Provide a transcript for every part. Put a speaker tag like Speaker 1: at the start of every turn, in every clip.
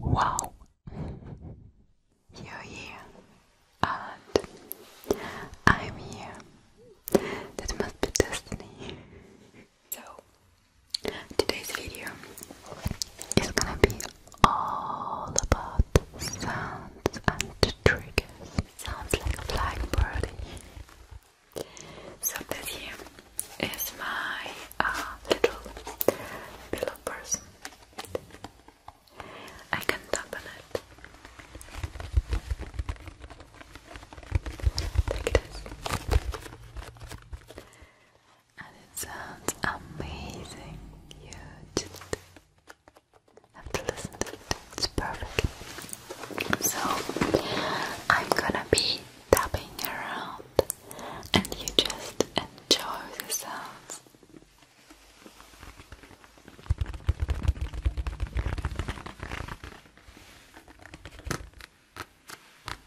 Speaker 1: Wow, you're here, and I'm here. That must be destiny. so, today's video is gonna be all about sounds and triggers. Sounds like a blackbird. So this here is my uh, little pillow person. I can tap on it. Like this and it sounds amazing. You just have to listen to it, it's perfect. So, I'm gonna be tapping around, and you just enjoy the sounds.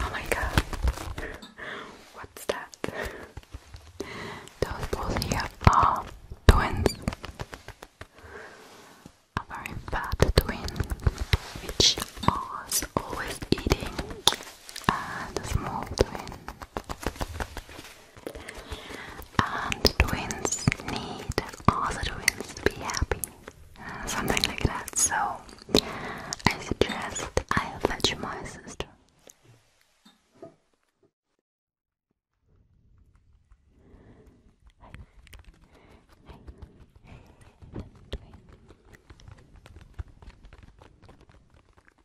Speaker 1: Oh my god. What's that? Those balls here are twins. A very fat twin, which was always eating, and a small twin. And twins need all the twins to be happy. Something like that. So I suggest I fetch my sister.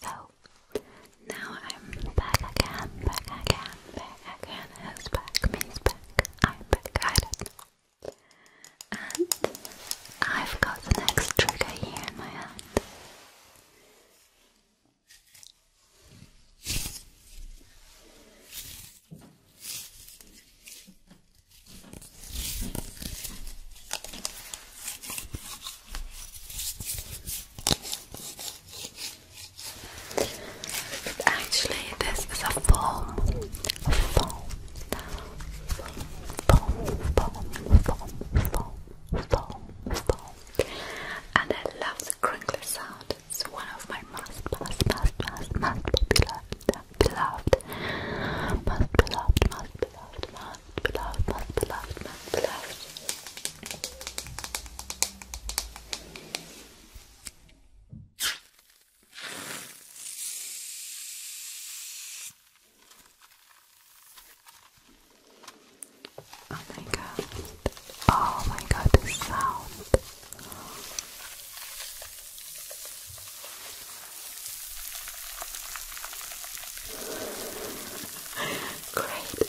Speaker 1: So now I'm back again, back again, back again. Who's back? Me's back. I'm back. I and I've got the next trigger here in my hand. Actually, this is a foam foam, foam, foam, foam, foam, foam, foam. And I love the crinkly sound. It's one of my must, must, must, must, must be loved, beloved, must be loved, must be loved, must be loved, must be loved, must be loved. Oh my god. Oh my god, the sound. Great.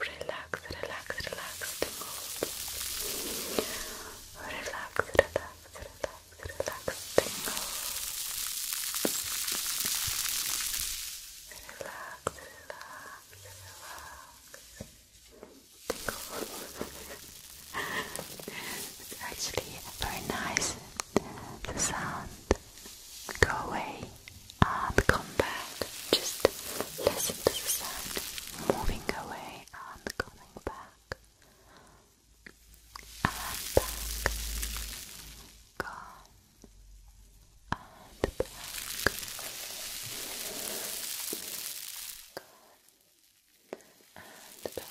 Speaker 1: Relax, relax, relax the Relax, relax, relax, relax the mood. Relax, relax, relax. it's actually very nice the sound. Go away and uh, come back. Just listen to the sound moving away and coming back. And back. Gone. And back. Gone. And back.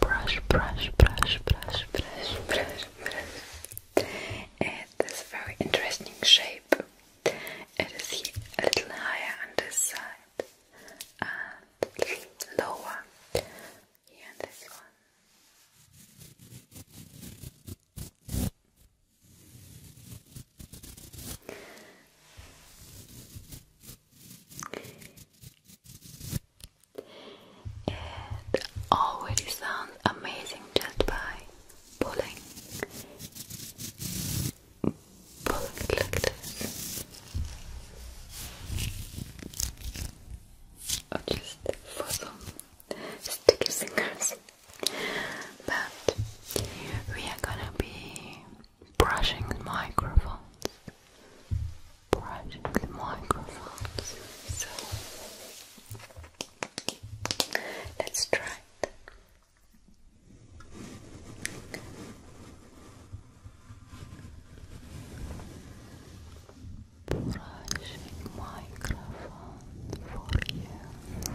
Speaker 1: brush, brush, brush, brush, brush, brush, brush. It is a very interesting shape. It is a little higher on this side and lower here on this one.
Speaker 2: It already sounds amazing just by pulling, pulling it like this, or for some sticky fingers. But we are gonna be brushing microphones,
Speaker 1: brushing microphones. So let's try it. Brushing microphone for you.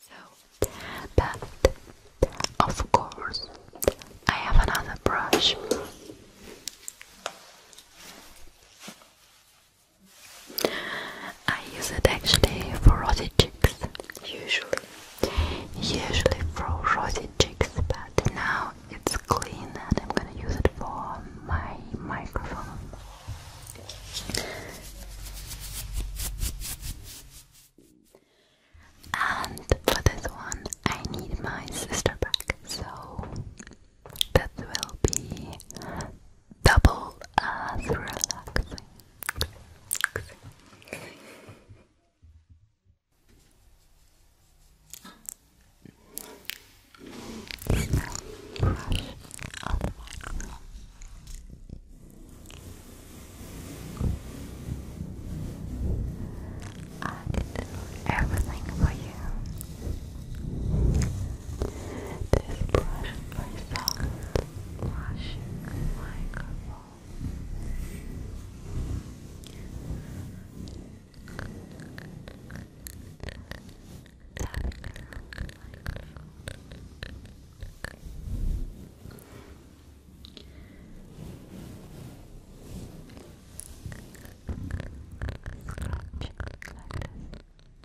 Speaker 1: So, but of course, I have another brush. I use it actually for rosy cheeks, usually. Usually for rosy cheeks, but now it's clean and I'm gonna use it for my microphone. And for this one, I need my sister back, so that will be double as relaxing. Brush I did everything for you. This brush for soft brushing microphone. Scratch like this.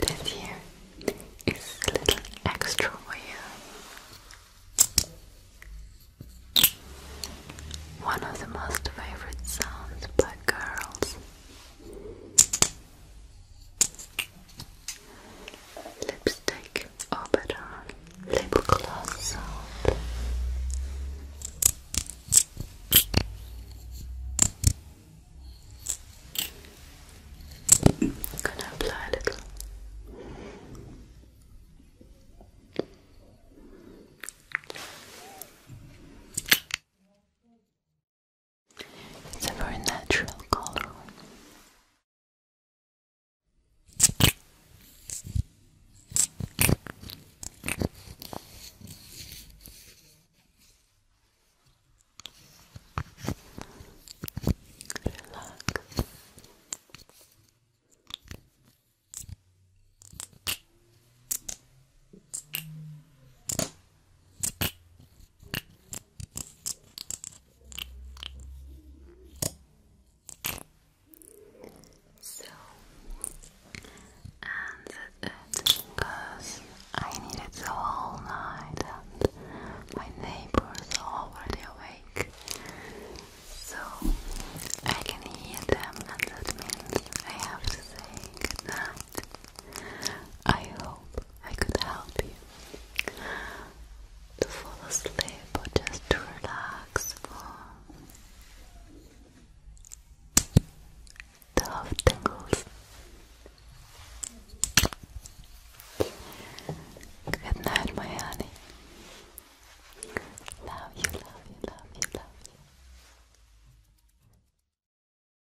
Speaker 1: This here is a little extra for One of the most favorite sounds by girls Lipstick Orbital Lip Gloss Soap. I'm gonna apply a little. It's a very natural color. Relax. So, and that's because I needed the whole night and my neighbors are already awake. So, I can hear them and that means I have to say goodnight. I hope I could help you to fall asleep or just to relax the half tingles. Good night, my honey. Love you, love you, love you, love you.